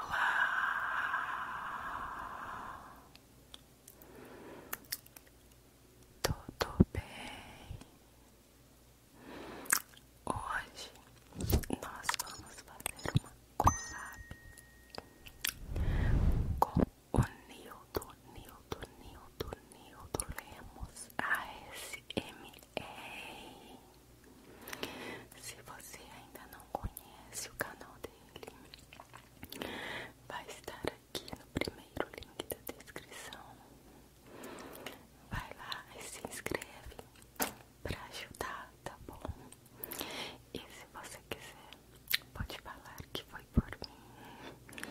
Olá, tudo bem? Hoje nós vamos fazer uma collab com o Nildo, Nildo, Nildo, Nildo Lemos a ASMR. Se você ainda não conhece o canal dele, vai estar aqui no primeiro link da descrição. Vai lá e se inscreve para ajudar, tá bom? E se você quiser, pode falar que foi por mim.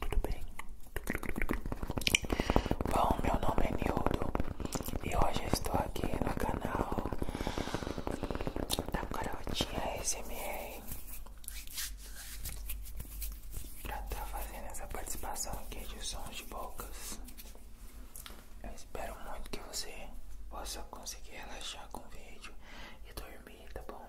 Tudo bem? Bom, meu nome é Nildo e hoje eu estou aqui no canal da Carotinha SMR pra estar tá fazendo essa participação aqui de sons de bocas. Eu espero muito que você possa conseguir relaxar com o vídeo e dormir, tá bom?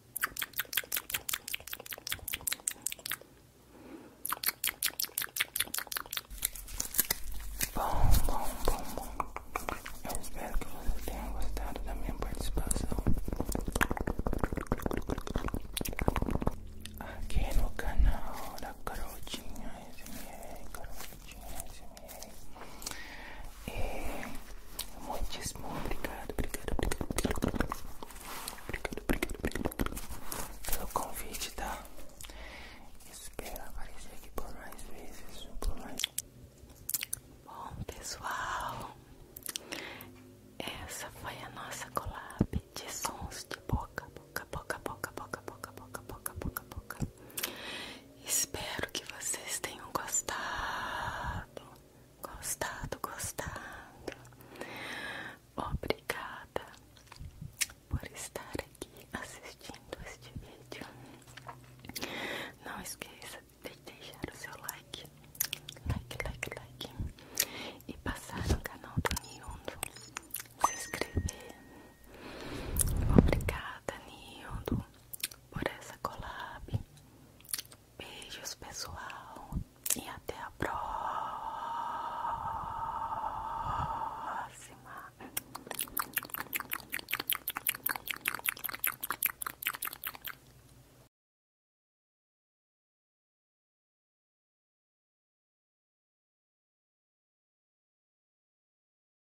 Bom, bom, bom, bom. Eu espero que vocês tenham gostado da minha participação aqui no canal da Garotinha SMR, Garotinha SMR. ASMR. É, e muitíssimo obrigado, obrigado, obrigado, obrigado, obrigado, obrigado, obrigado pelo convite, tá? Espero aparecer aqui por mais vezes, por mais. Bom pessoal, essa foi a nossa colab de sons de boca, boca, boca, boca, boca, boca, boca, boca, boca, boca. Espero que vocês tenham gostado, gostado, gostado. Obrigada por estar aqui assistindo este vídeo. Não esqueça de deixar o seu like, like, like, like, e passar no canal do Nildo, se inscrever. Obrigada, Nildo por essa colab Beijos, pessoal, e até a próxima.